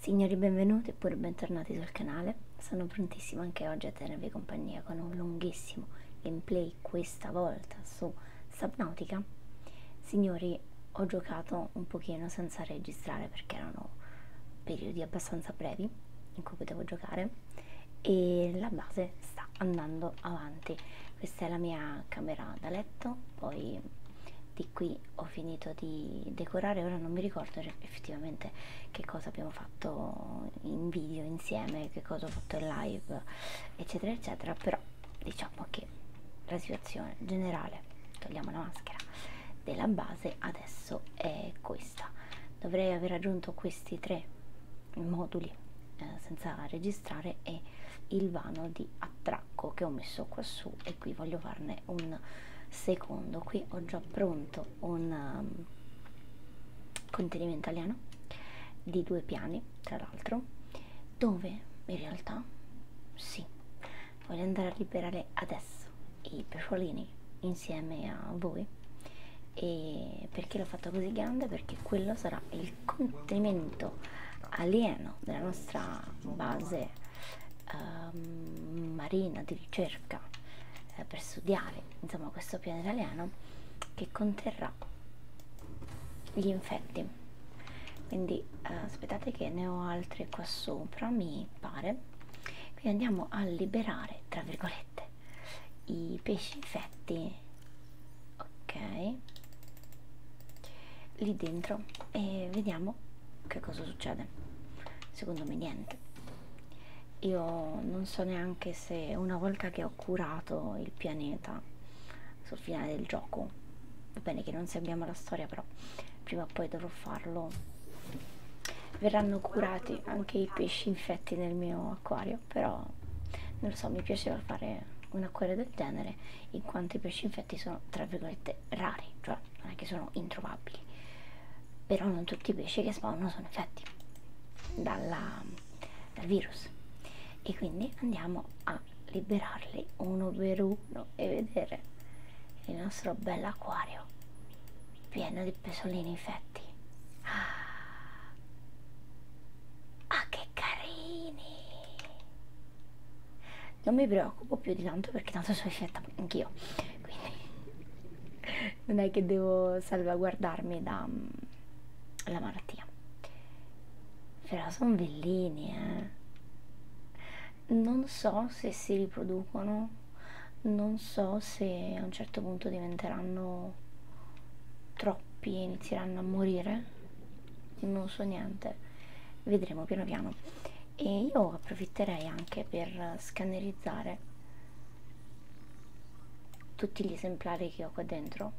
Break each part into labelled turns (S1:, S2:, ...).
S1: Signori benvenuti oppure bentornati sul canale, sono prontissima anche oggi a tenervi compagnia con un lunghissimo gameplay questa volta su Subnautica. Signori, ho giocato un pochino senza registrare perché erano periodi abbastanza brevi in cui potevo giocare e la base sta andando avanti. Questa è la mia camera da letto, poi di qui ho finito di decorare ora non mi ricordo effettivamente che cosa abbiamo fatto in video insieme che cosa ho fatto in live eccetera eccetera però diciamo che la situazione generale togliamo la maschera della base adesso è questa dovrei aver raggiunto questi tre moduli eh, senza registrare e il vano di attracco che ho messo qua su e e qui voglio farne un secondo qui ho già pronto un um, contenimento italiano di due piani tra l'altro dove in realtà sì voglio andare a liberare adesso i pesciolini insieme a voi e perché l'ho fatto così grande perché quello sarà il contenimento alieno della nostra base um, marina di ricerca eh, per studiare insomma questo piano italiano che conterrà gli infetti quindi eh, aspettate che ne ho altri qua sopra mi pare quindi andiamo a liberare tra virgolette i pesci infetti ok lì dentro e vediamo che cosa succede? Secondo me niente. Io non so neanche se una volta che ho curato il pianeta sul finale del gioco, va bene che non seguiamo la storia, però prima o poi dovrò farlo. Verranno curati anche i pesci infetti nel mio acquario, però non lo so, mi piaceva fare un acquario del genere in quanto i pesci infetti sono tra virgolette cose rare, cioè non è che sono introvabili, però non tutti i pesci che spawnano sono infetti dalla, dal virus e quindi andiamo a liberarli uno per uno e vedere il nostro bel acquario pieno di pesolini infetti. Ah, ah che carini! Non mi preoccupo più di tanto perché tanto sono infetta anch'io quindi non è che devo salvaguardarmi dalla mm, malattia però sono bellini eh. non so se si riproducono non so se a un certo punto diventeranno troppi e inizieranno a morire non so niente vedremo piano piano e io approfitterei anche per scannerizzare tutti gli esemplari che ho qua dentro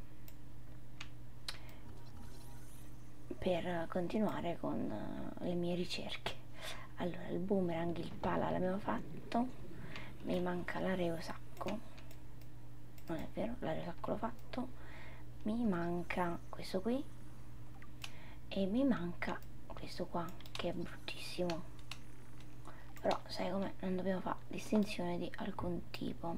S1: per continuare con eh, le mie ricerche allora il boomerang il pala l'abbiamo fatto mi manca l'areosacco non è vero l'areosacco l'ho fatto mi manca questo qui e mi manca questo qua che è bruttissimo però sai come non dobbiamo fare distinzione di alcun tipo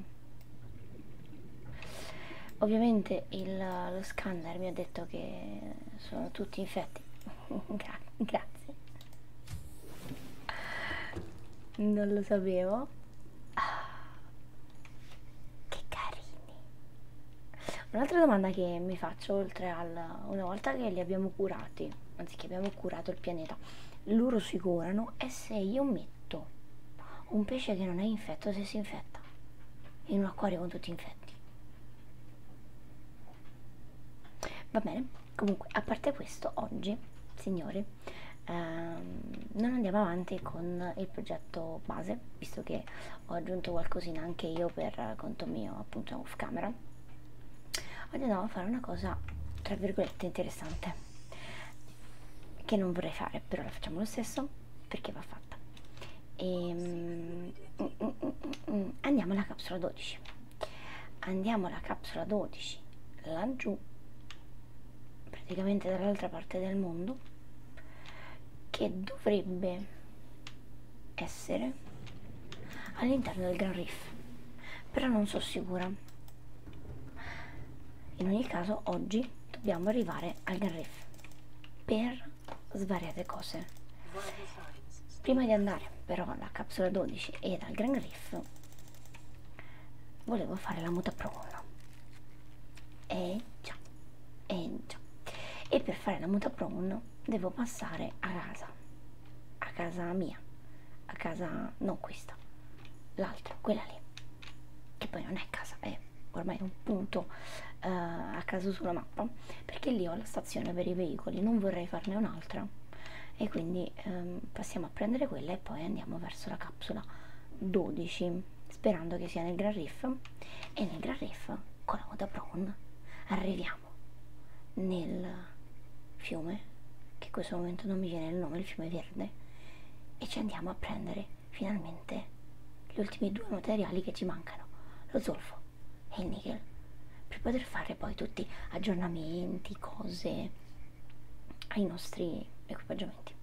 S1: ovviamente il, lo scanner mi ha detto che sono tutti infetti Gra grazie non lo sapevo ah, che carini Un'altra domanda che mi faccio, oltre al una volta che li abbiamo curati, anzi che abbiamo curato il pianeta, loro si curano, è se io metto un pesce che non è infetto se si infetta in un acquario con tutti infetti. Va bene, comunque, a parte questo, oggi, signori, ehm, non andiamo avanti con il progetto base, visto che ho aggiunto qualcosina anche io per conto mio appunto off camera oggi andiamo a fare una cosa tra virgolette interessante che non vorrei fare però la facciamo lo stesso perché va fatta e, mm, mm, mm, andiamo alla capsula 12 andiamo alla capsula 12 laggiù praticamente dall'altra parte del mondo che dovrebbe essere all'interno del Gran Reef, però non sono sicura. In ogni caso oggi dobbiamo arrivare al Gran Reef per svariate cose. Prima di andare però alla capsula 12 e al Gran Reef volevo fare la muta prona. E eh già, e eh già. E per fare la muta prona devo passare a casa a casa mia a casa non questa l'altra quella lì che poi non è casa è ormai un punto uh, a caso sulla mappa perché lì ho la stazione per i veicoli non vorrei farne un'altra e quindi um, passiamo a prendere quella e poi andiamo verso la capsula 12 sperando che sia nel Gran Riff e nel Gran Riff con la coda brown arriviamo nel fiume che in questo momento non mi viene il nome, il fiume verde e ci andiamo a prendere finalmente gli ultimi due materiali che ci mancano, lo zolfo e il nickel per poter fare poi tutti aggiornamenti, cose ai nostri equipaggiamenti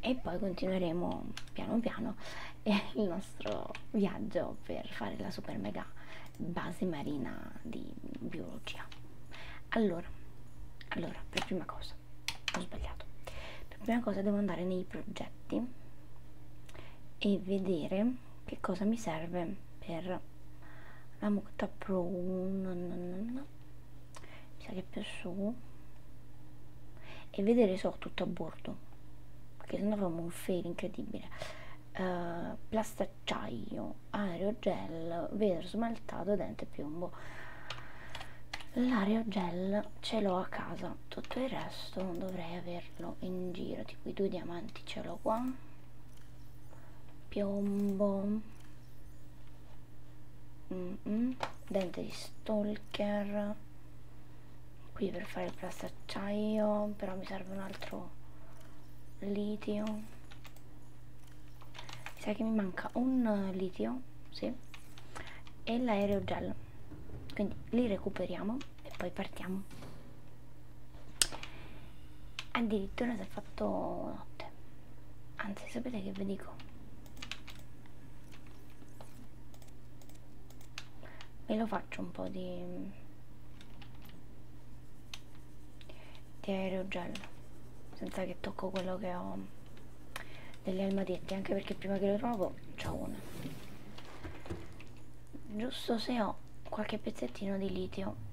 S1: e poi continueremo piano piano e il nostro viaggio per fare la super mega base marina di biologia allora allora per prima cosa ho sbagliato per prima cosa devo andare nei progetti e vedere che cosa mi serve per la mucta pro no, no, no, no. mi sa che più su e vedere so tutto a bordo perché sennò avremmo un fail incredibile uh, eh, plastacciaio aerogel vetro smaltato dente piombo l'aerogel ce l'ho a casa tutto il resto dovrei averlo in giro tipo i due diamanti ce l'ho qua piombo Mm -mm. dente di stalker qui per fare il plastacciaio però mi serve un altro litio mi sa che mi manca un eh, litio sì, e l'aerogel quindi li recuperiamo e poi partiamo addirittura si è fatto notte anzi sapete che vi dico me lo faccio un po' di, di aerogel senza che tocco quello che ho degli almadetti anche perché prima che lo trovo c'ho uno giusto se ho qualche pezzettino di litio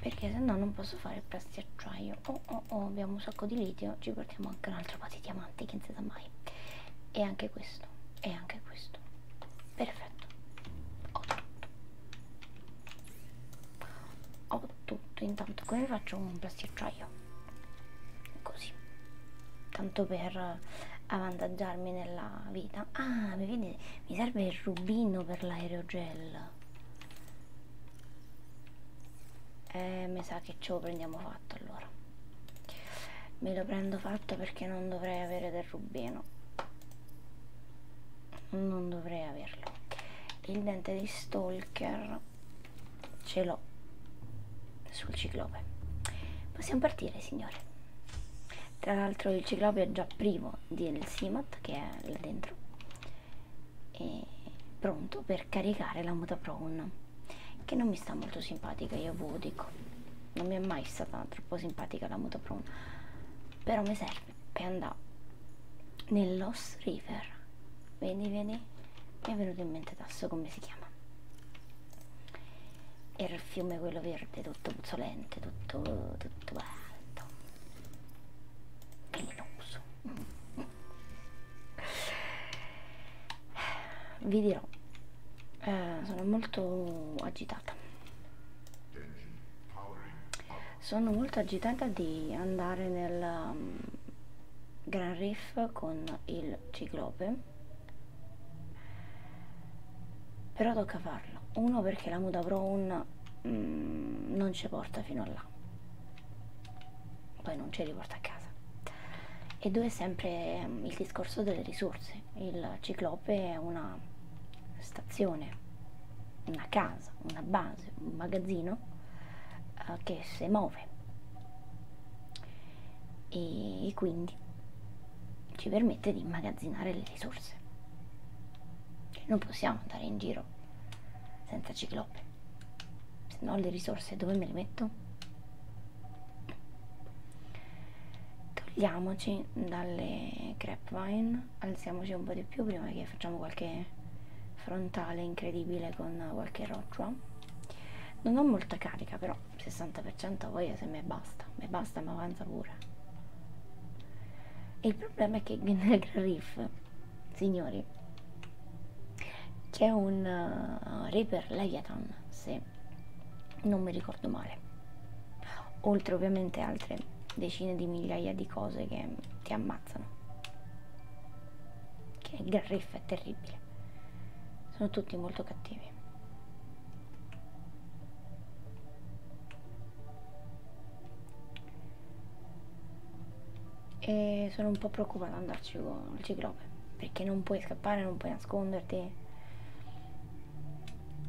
S1: perché se no non posso fare presti acciaio oh oh oh abbiamo un sacco di litio ci portiamo anche un altro po' di diamanti che non si sa mai e anche questo e anche questo posto perfetto ho tutto ho tutto intanto come faccio un plasticciaio così tanto per avvantaggiarmi nella vita ah mi, vede, mi serve il rubino per l'aerogel eh, mi sa che ce lo prendiamo fatto allora me lo prendo fatto perché non dovrei avere del rubino non dovrei averlo il dente di stalker ce l'ho sul ciclope possiamo partire signore tra l'altro il ciclope è già privo del simat che è là dentro e pronto per caricare la mutaprown che non mi sta molto simpatica io ve lo dico non mi è mai stata troppo simpatica la motoprona però mi serve per andare nel Lost River vedi vedi mi è venuto in mente adesso come si chiama era il fiume quello verde tutto puzzolente tutto tutto alto velenoso vi dirò eh, sono molto agitata sono molto agitata di andare nel um, Gran Riff con il ciclope però tocca farlo uno perché la Muda Brown mm, non ci porta fino a là poi non ci riporta a casa e due sempre um, il discorso delle risorse case. Il ciclope è una stazione, una casa, una base, un magazzino eh, che si muove e, e quindi ci permette di immagazzinare le risorse. Cioè, non possiamo andare in giro senza ciclope, se no le risorse dove me le metto? Togliamoci dalle grapevine, alziamoci un po' di più prima che facciamo qualche frontale incredibile con qualche roccia. Non ho molta carica però, 60% voglia se me basta, me basta ma avanza pure. E il problema è che nel Gran Reef, signori, c'è un uh, Reaper Leviathan, sì non mi ricordo male oltre ovviamente altre decine di migliaia di cose che ti ammazzano che è Garriff è terribile sono tutti molto cattivi e sono un po' preoccupata ad andarci con il ciclope perché non puoi scappare, non puoi nasconderti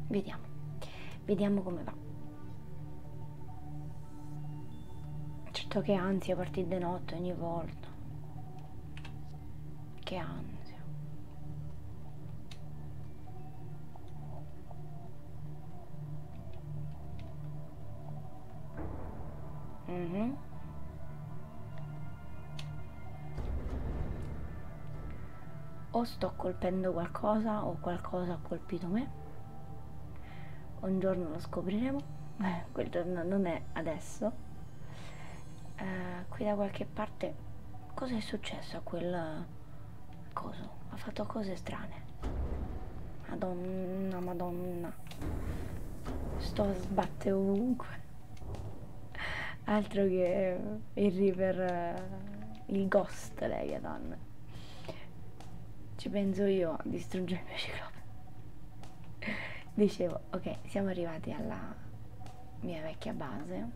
S1: vediamo vediamo come va certo che ansia partire di notte ogni volta che ansia Mm -hmm o sto colpendo qualcosa o qualcosa ha colpito me un giorno lo scopriremo quel giorno non è adesso eh, qui da qualche parte cosa è successo a quel coso ha fatto cose strane madonna madonna sto a sbattere ovunque altro che il river eh, il ghost legaton ci penso io a distruggere il mio ciclope dicevo ok siamo arrivati alla mia vecchia base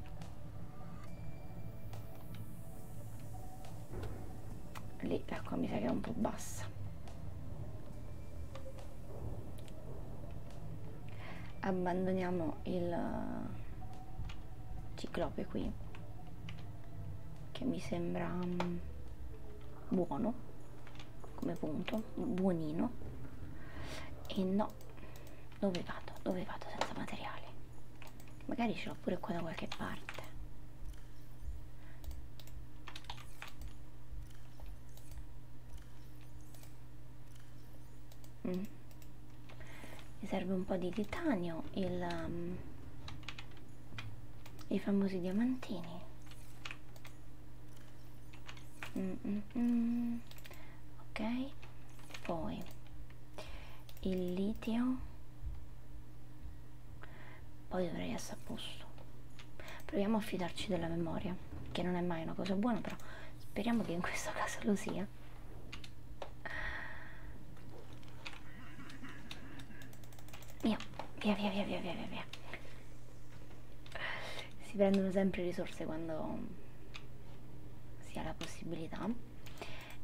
S1: lì l'acqua mi sa che è un po' bassa abbandoniamo il eh, ciclope qui che mi sembra mm, buono come punto buonino e no dove vado dove vado senza materiali magari ce l'ho pure qua da qualche parte mm. mi serve un po' di titanio il, um, i famosi diamantini mm, mm, mm. ok poi il litio poi dovrei essere a posto proviamo a fidarci della memoria che non è mai una cosa buona però speriamo che in questo caso lo sia mia via via via via via via via si prendono sempre risorse quando si ha la possibilità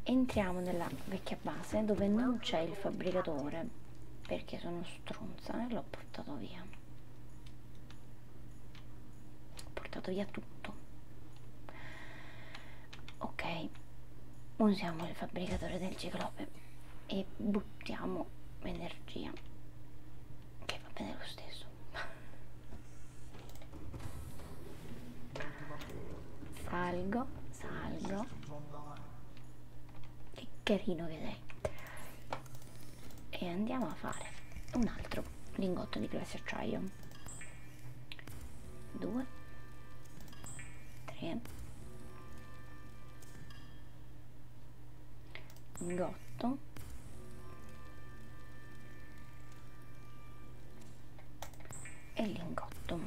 S1: entriamo nella vecchia base dove non c'è il fabbricatore perché sono stronza e l'ho portato via ho portato via tutto ok usiamo il fabbricatore del ciclope e buttiamo energia che va bene lo stesso salgo salgo che carino che sei e andiamo a fare un altro lingotto di glace acciaio 2 3 lingotto e lingotto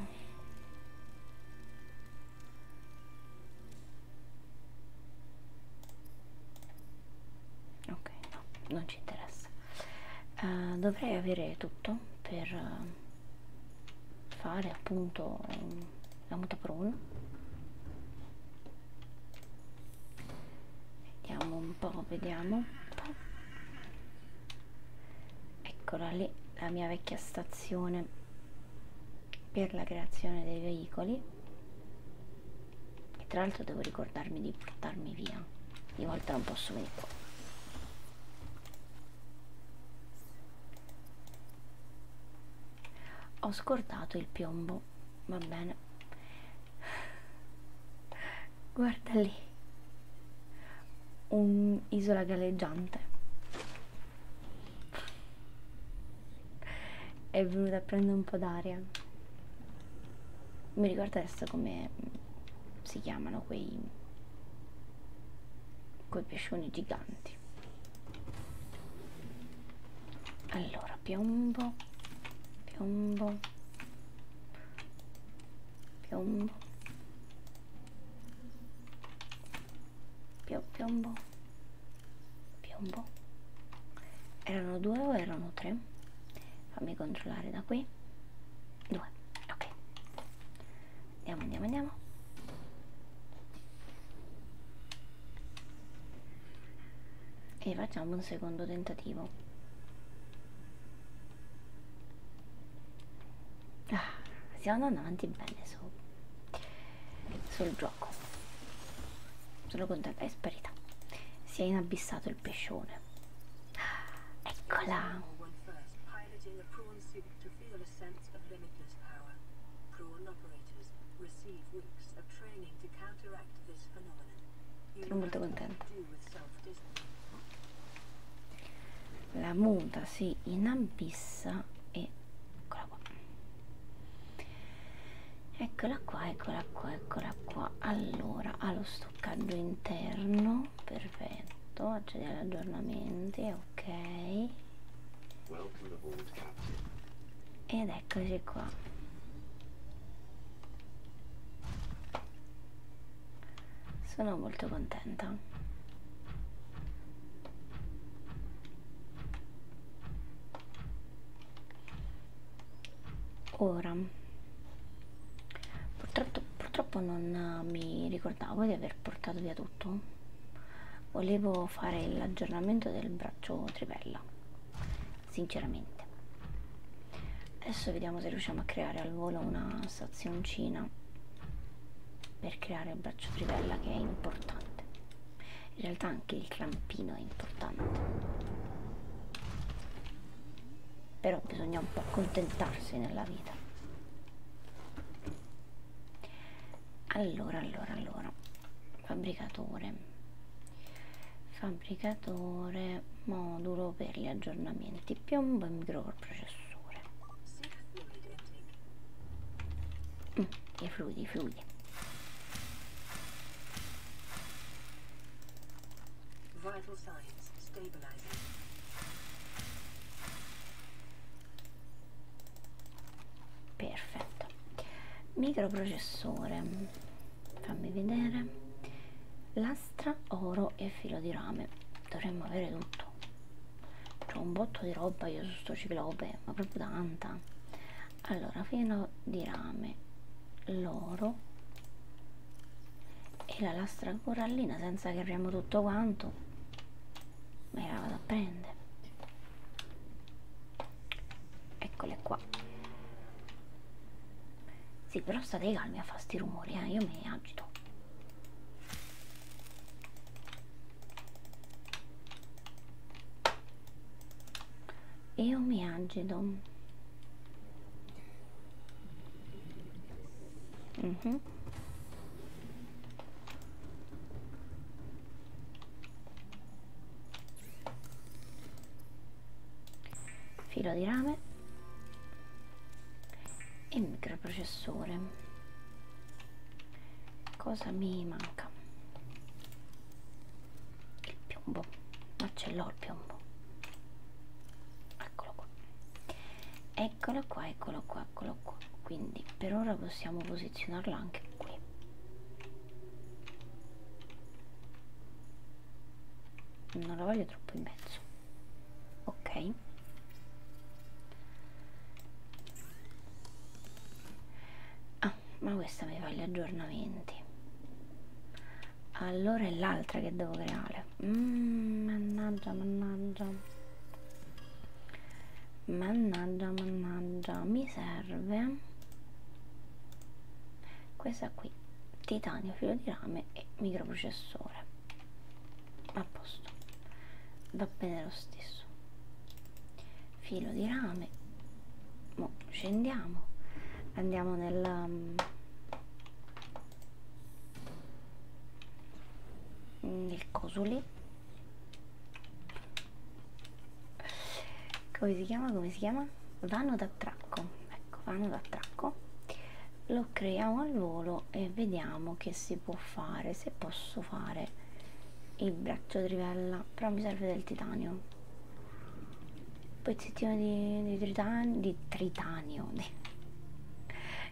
S1: ok no non ci interessa uh, dovrei avere tutto per uh, fare appunto um, la mutaprone vediamo un po' vediamo un po'. eccola lì la mia vecchia stazione per la creazione dei veicoli e tra l'altro devo ricordarmi di portarmi via. Di volta non posso venire qua. Ho scordato il piombo. Va bene. Guarda lì. Un'isola galleggiante. È venuta a prendere un po' d'aria mi ricordo adesso come si chiamano quei quei pescioni giganti allora piombo piombo piombo Pio, piombo piombo erano due o erano tre fammi controllare da qui 2 ok andiamo andiamo andiamo e facciamo un secondo tentativo ah, stiamo andando avanti bene su, sul gioco solo con te è sparita si è inabissato il pescione. Eccola! Sono molto contenta. La muta si inambissa e eccola qua. Eccola qua, eccola qua, eccola qua. Allora, allo stoccaggio interno perfetto accedere agli aggiornamenti ok ed eccoci qua sono molto contenta ora purtroppo, purtroppo non eh, mi ricordavo di aver portato via tutto volevo fare l'aggiornamento del braccio trivella sinceramente adesso vediamo se riusciamo a creare al volo una stazioncina per creare il braccio trivella che è importante in realtà anche il clampino è importante però bisogna un po' accontentarsi nella vita allora allora allora fabbricatore fabbricatore modulo per gli aggiornamenti piombo e microprocessore mm, i fluidi i fluidi Vital signs stabilizing. Perfetto. Microprocessore. Fammi vedere. Lastra, oro e filo di rame. Dovremmo avere tutto. C'ho un botto di roba io su sto ciclope, ma proprio tanta. Allora, filo di rame l'oro e la lastra corallina senza che apriamo tutto quanto me la vado a prendere eccole qua sì però state calmi a fare sti rumori eh? io mi agito e omeagedo mm -hmm. filo di rame e microprocessore cosa mi manca il piombo ma ce l'ho il piombo eccolo qua eccolo qua eccolo qua eccolo qua quindi per ora possiamo posizionarlo anche qui non la voglio troppo in mezzo ok ah ma questa mi fa gli aggiornamenti allora è l'altra che devo creare mm, mannaggia mannaggia mannaggia mannaggia mi serve questa qui titanio filo di rame e microprocessore a posto va bene lo stesso filo di rame Mo scendiamo andiamo nel mm, nel mm, cosole come si chiama come si chiama vano d'attracco ecco vano d'attracco lo creiamo al volo e vediamo che si può fare se posso fare il braccio trivella però mi serve del titanio pezzettino di, di, tritan di tritanio di,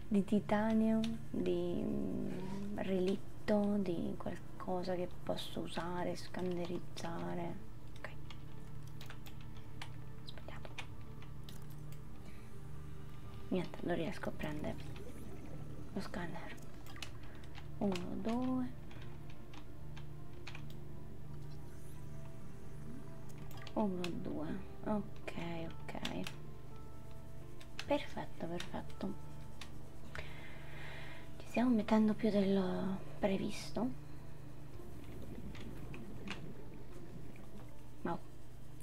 S1: di titanio di mm, relitto di qualcosa che posso usare scanderizzare ok sbagliato niente non riesco a prendere lo scanner 1 2 1 2 ok ok perfetto perfetto ci stiamo mettendo più del previsto ma no,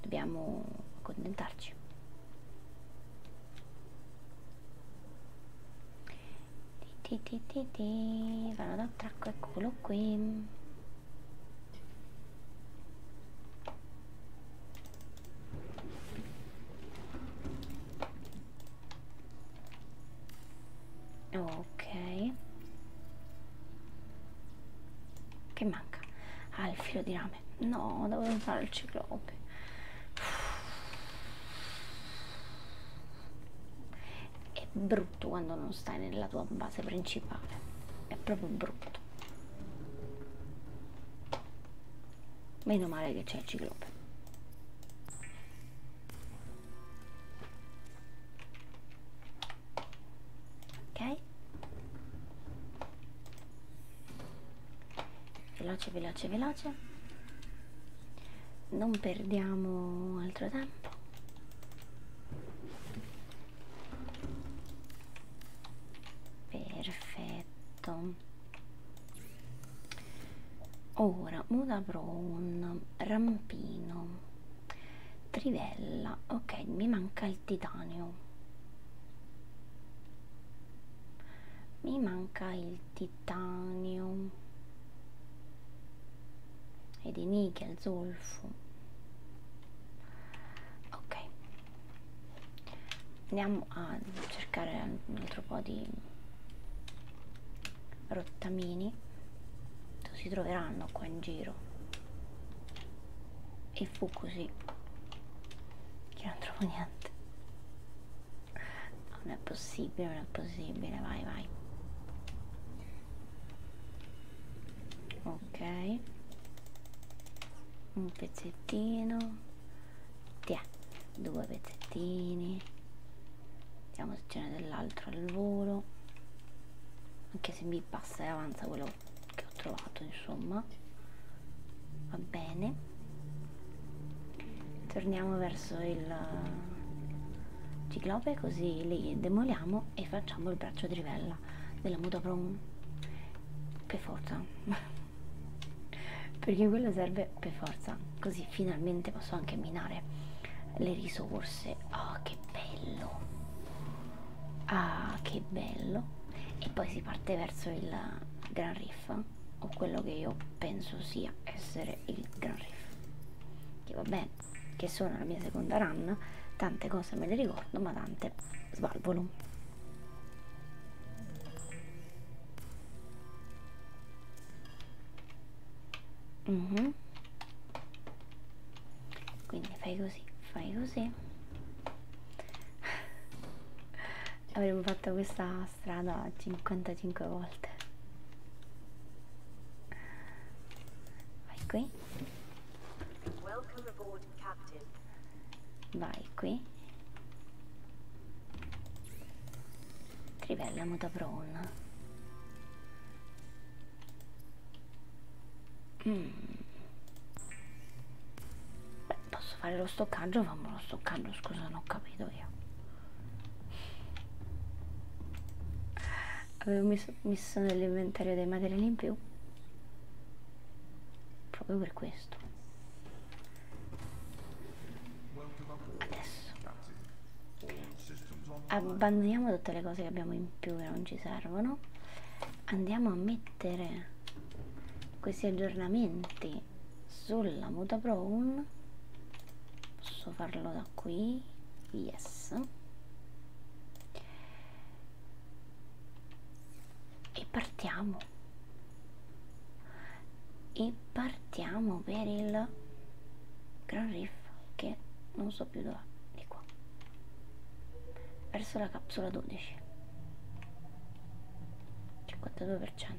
S1: dobbiamo accontentarci ti ti ti ti vanno da tracco eccolo qui ok che manca? ah il filo di rame no dovevo usare il ciclope è brutto quando non stai nella tua base principale è proprio brutto meno male che c'è il ciclope ok veloce veloce veloce non perdiamo altro tempo perfetto ora muda brown rampino trivella ok mi manca il titanio mi manca il titanio e di nickel, zolfo ok andiamo a cercare un altro po' di rottamini si troveranno qua in giro e fu così che non trovo niente non è possibile non è possibile vai vai ok un pezzettino Tiè, due pezzettini vediamo se ce n'è dell'altro al volo anche se mi passa e avanza quello che ho trovato insomma va bene torniamo verso il ciclope così li demoliamo e facciamo il braccio di rivella della motoprom per forza perché quello serve per forza così finalmente posso anche minare le risorse oh che bello ah che bello e poi si parte verso il Gran Riff o quello che io penso sia essere il Gran Riff che vabbè che sono la mia seconda run, tante cose me le ricordo, ma tante svalvolo. Mm -hmm. Quindi fai così, fai così. Avremmo fatto questa strada 55 volte. Vai qui. Vai qui. Crivella Mutavron. Mm. Beh, posso fare lo stoccaggio? Fammi lo stoccaggio, scusa, non ho capito io avevo messo, messo nell'inventario dei materiali in più proprio per questo adesso abbandoniamo tutte le cose che abbiamo in più che non ci servono andiamo a mettere questi aggiornamenti sulla muta brown posso farlo da qui yes e partiamo e partiamo per il Gran Riff che non so più dove di qua verso la capsula 12 52%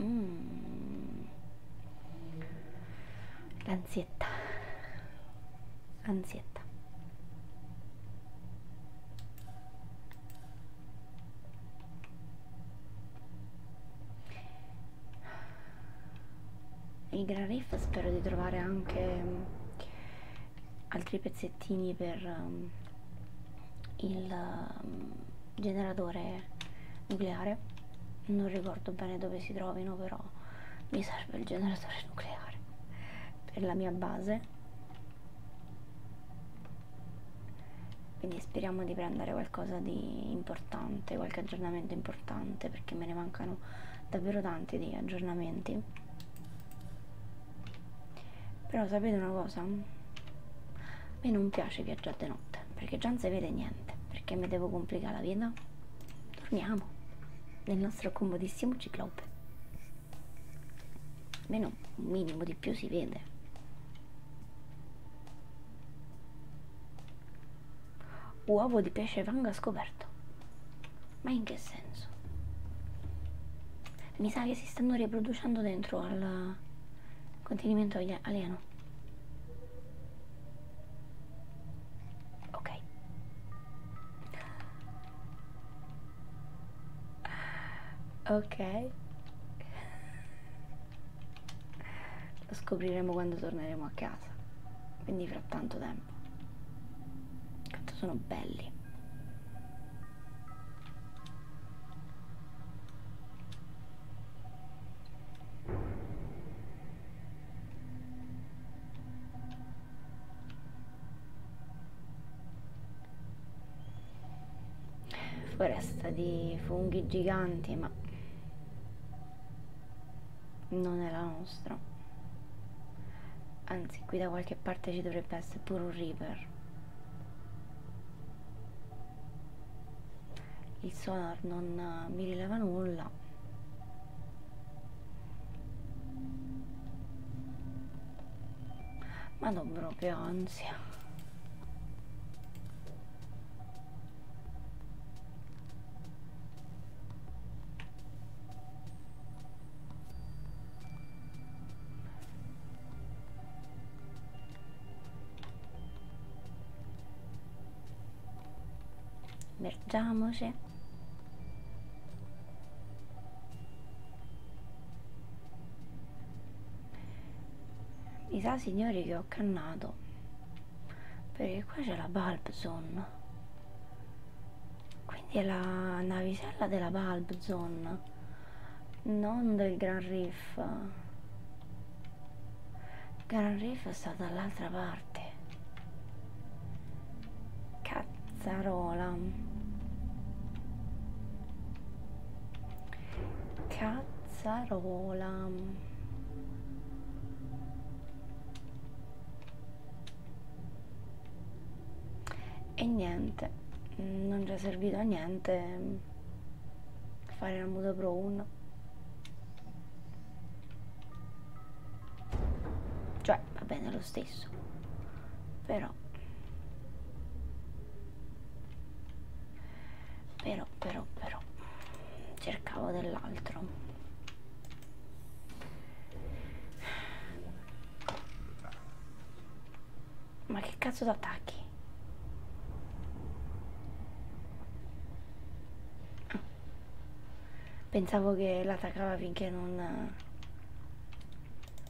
S1: mm l'ansietta ansietta il Gran Riff spero di trovare anche mm, altri pezzettini per um, il um, generatore nucleare non ricordo bene dove si trovino però mi serve il generatore nucleare per la mia base quindi speriamo di prendere qualcosa di importante qualche aggiornamento importante perché me ne mancano davvero tanti di aggiornamenti però sapete una cosa a me non piace viaggiare di notte perché già non si vede niente perché mi devo complicare la vita torniamo nel nostro comodissimo ciclope almeno un minimo di più si vede uovo di pesce vanga scoperto ma in che senso? mi sa che si stanno riproducendo dentro al contenimento alieno ok ok lo scopriremo quando torneremo a casa quindi fra tanto tempo quanto sono belli foresta di funghi giganti ma non è la nostra anzi qui da qualche parte ci dovrebbe essere pure un river il sonar non mi rileva nulla ma non proprio ansia Vergiamoci mi sa signori che ho cannato perché qua c'è la Bulb Zone quindi è la navicella della Bulb Zone non del Gran Riff Gran Riff è stata dall'altra parte parte. Cazzarola. Cazzarola. E niente, non ci è servito a niente fare la Mudo Pro 1. Cioè, va bene lo stesso. Però... Però, però, però... Cercavo dell'altro. Ma che cazzo d'attacchi? Pensavo che l'attaccava finché non,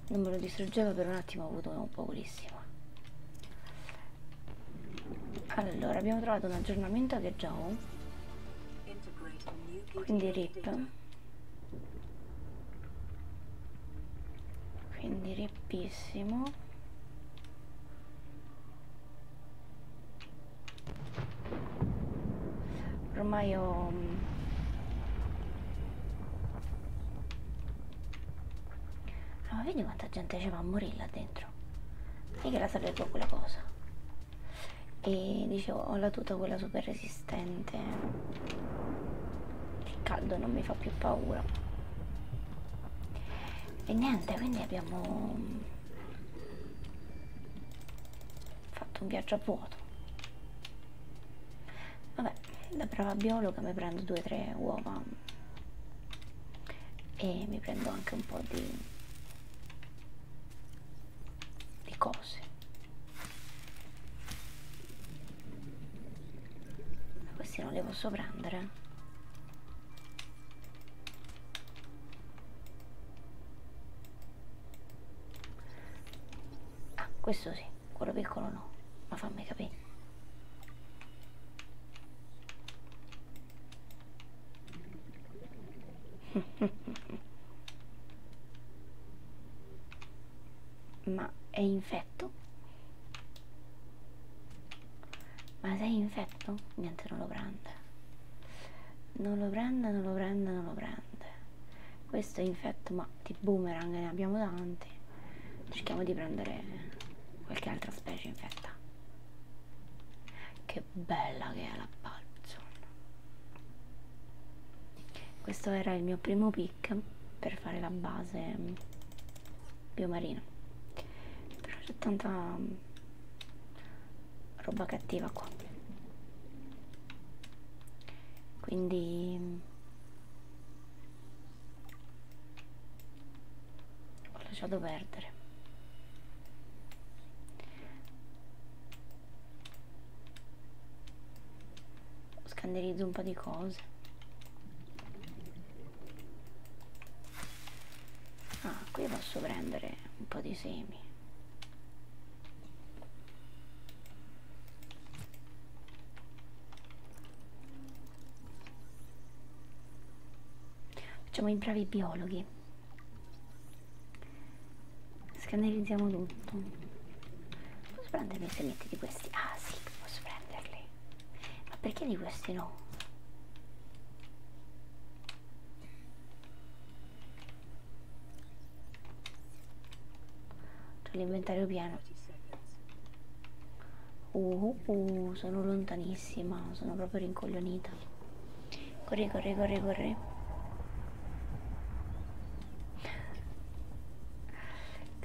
S1: non me lo distruggeva, per un attimo ho avuto un paurissimo. Allora, abbiamo trovato un aggiornamento che già ho. Quindi rip. Quindi rippissimo ormai ho no, mm, ah, ma vedi quanta gente ci va a morire là dentro io che la sapevo quella cosa e dicevo ho la tuta quella super resistente il caldo non mi fa più paura e niente quindi abbiamo mm, fatto un viaggio a vuoto vabbè da brava biologa mi prendo 2-3 uova e mi prendo anche un po' di, di cose ma questi non li posso prendere Ah, questo sì, quello piccolo no, ma fammi capire. ma è infetto? Ma sei infetto? Niente, non lo prende non lo prende, non lo prende, non lo prende. Questo è infetto, ma di boomerang ne abbiamo tanti. Cerchiamo di prendere qualche altra specie infetta. Che bella che è la Balzon. Questo era il mio primo pick per fare la base biomarina. Però c'è tanta roba cattiva qua quindi ho lasciato perdere scanderizzo un po' di cose ah qui posso prendere un po' di semi Facciamo i bravi biologhi. Scannerizziamo tutto. Posso prendermi i semetti di questi? Ah sì, posso prenderli. Ma perché di questi no? C'ho l'inventario pieno. Uh, uh, uh, sono lontanissima, sono proprio rincoglionita. Corri, corri, corri, corri.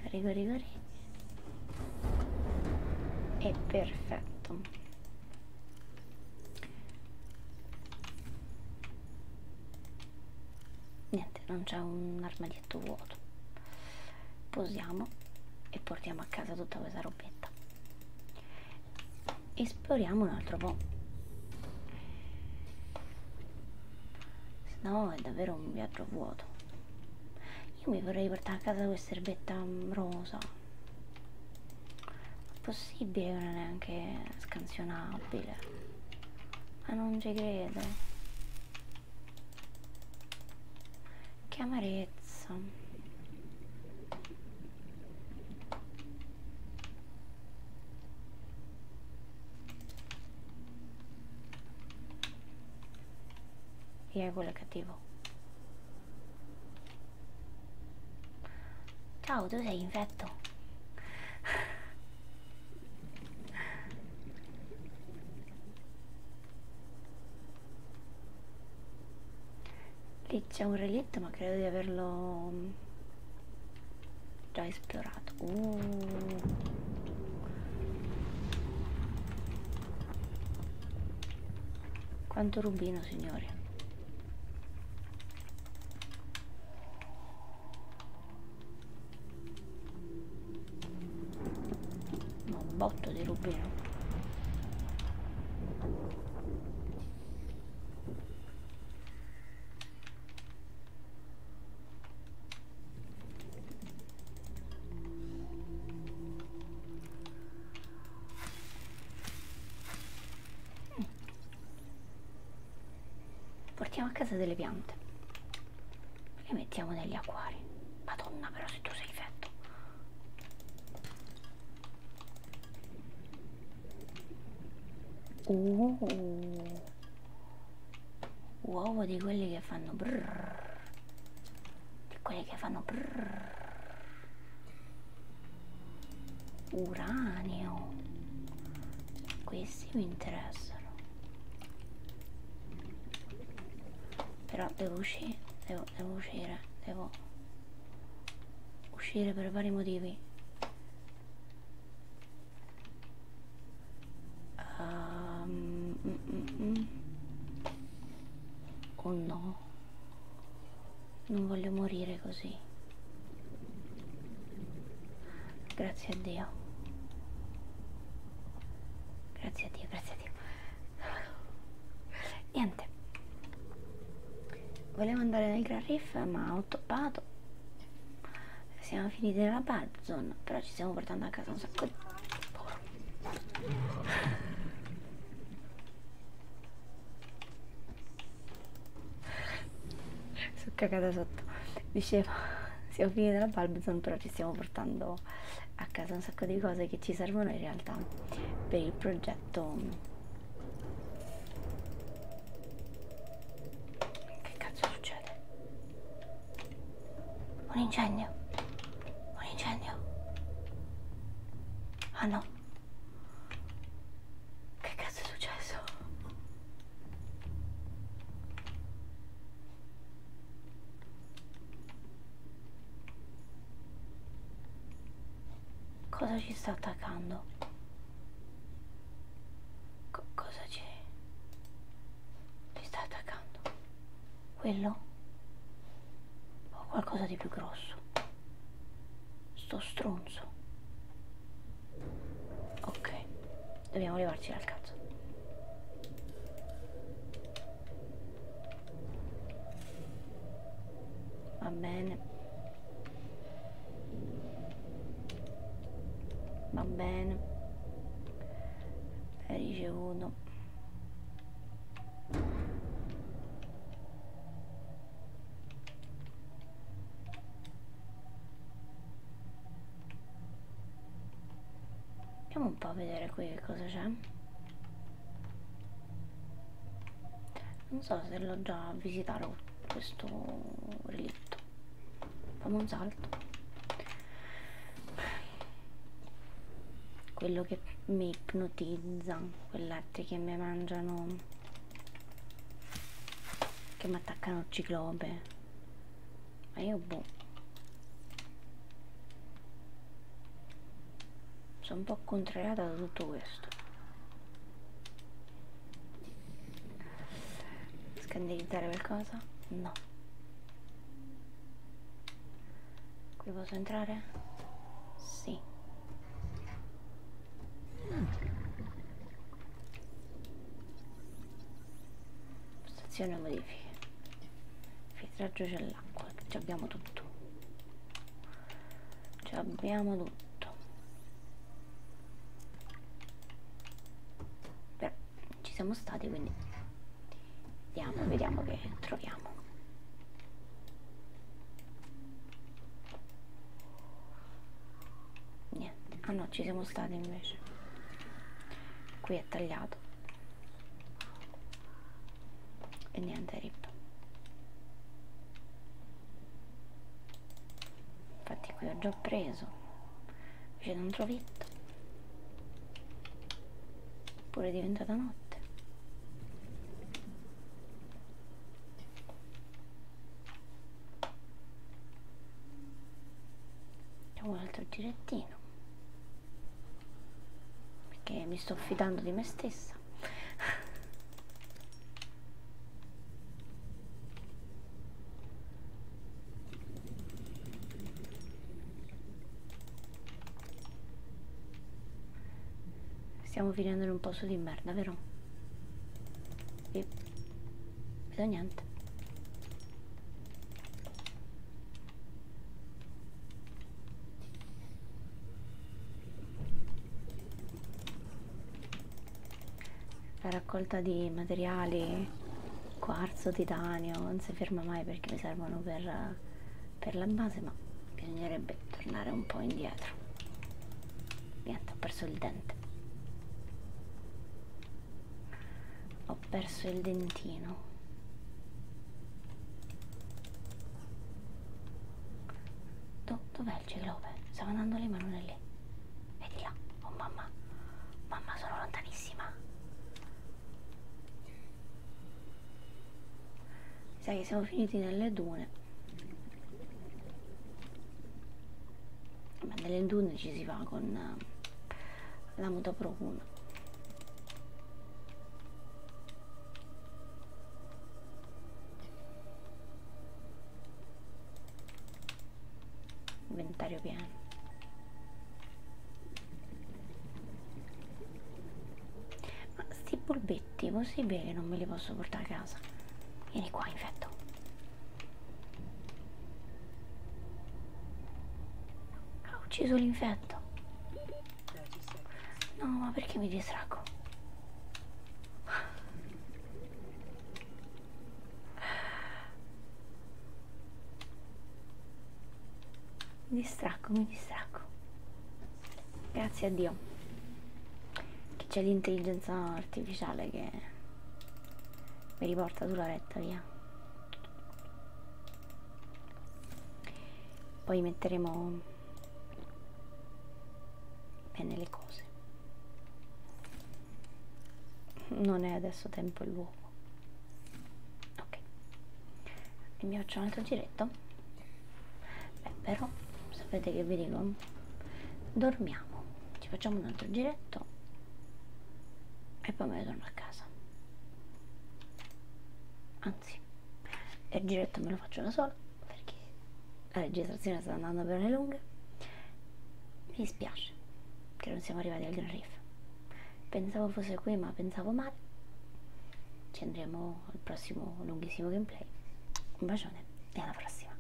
S1: Corri, corri, corri. È perfetto niente non c'è un armadietto vuoto posiamo e portiamo a casa tutta questa robetta esploriamo un altro po' se no è davvero un viaggio vuoto io mi vorrei portare a casa questa erbetta mm, rosa possibile che non è neanche scansionabile ma non ci credo che amarezza e quello è cattivo Ciao, tu sei infetto. Lì c'è un relitto, ma credo di averlo mm, già esplorato. Uh. Quanto rubino, signori. Ma un botto di rubino. Mm portiamo a casa delle piante le mettiamo negli acquari madonna però se tu sei fetto uh, uovo di quelli che fanno brrr, di quelli che fanno brrr uranio questi mi interessano però devo uscire devo, devo uscire devo uscire per vari motivi um, mm, mm, mm. oh no non voglio morire così Grazie a Dio. Grazie a Dio, grazie a Dio. Niente. Volevo andare nel Gran Riff ma ho toppato. Siamo finiti nella Bad Zone, però ci stiamo portando a casa un sacco di sono cagata sotto dicevo siamo figli della Balbazon però ci stiamo portando a casa un sacco di cose che ci servono in realtà per il progetto che cazzo succede? un incendio un incendio ah no che cazzo è successo? Cosa ci sta attaccando? Co cosa c'è? Ci sta attaccando? Quello? O qualcosa di più grosso? Sto stronzo. Ok, dobbiamo arrivarci dal cazzo. Va bene. Va bene. È ricevuto. Andiamo un po' a vedere qui che cosa c'è. Non so se l'ho già visitato questo relitto. Fammi un salto. Quello che mi ipnotizza, quei letti che mi mangiano che mi attaccano ciclope. Ma io boh. Sono un po' contrariata da tutto questo. Scandalizzare qualcosa? No. Qui posso entrare? Sì. Stazione modifiche. Filtraggio c'è l'acqua, ci abbiamo tutto. Ci abbiamo tutto. Però ci siamo stati quindi andiamo, vediamo che troviamo niente ah no ci siamo stati invece qui è tagliato e niente rip infatti qui ho già preso invece non trovetto pure è diventata notte e un altro girettino perché mi sto fidando di me stessa stiamo finendo in un posto di merda vero? Yep vedo niente la raccolta di materiali quarzo titanio non si ferma mai perché mi servono per, per la base ma bisognerebbe tornare un po' indietro niente ho perso il dente ho perso il dentino Do, dov'è il ciclope? stava andando lì ma non è lì è di là oh mamma mamma sono lontanissima sai che siamo finiti nelle dune ma nelle dune ci si va con uh, la muta pro 1 inventario pieno ma sti polpetti possibile che non me li posso portare a casa vieni qua infetto ha ucciso l'infetto. No, ma perché mi distraggo? Mi distracco, mi distracco. Grazie a Dio che c'è l'intelligenza artificiale che mi riporta sulla retta via poi metteremo bene le cose non è adesso tempo il luogo ok e mi faccio un altro giretto beh però sapete che vi dico dormiamo ci facciamo un altro giretto e poi me ne torno a casa anzi il giretto me lo faccio da sola perché la registrazione sta andando per le lunghe mi dispiace che non siamo arrivati al Gran Reef pensavo fosse qui ma pensavo male ci andremo al prossimo lunghissimo gameplay un bacione e alla prossima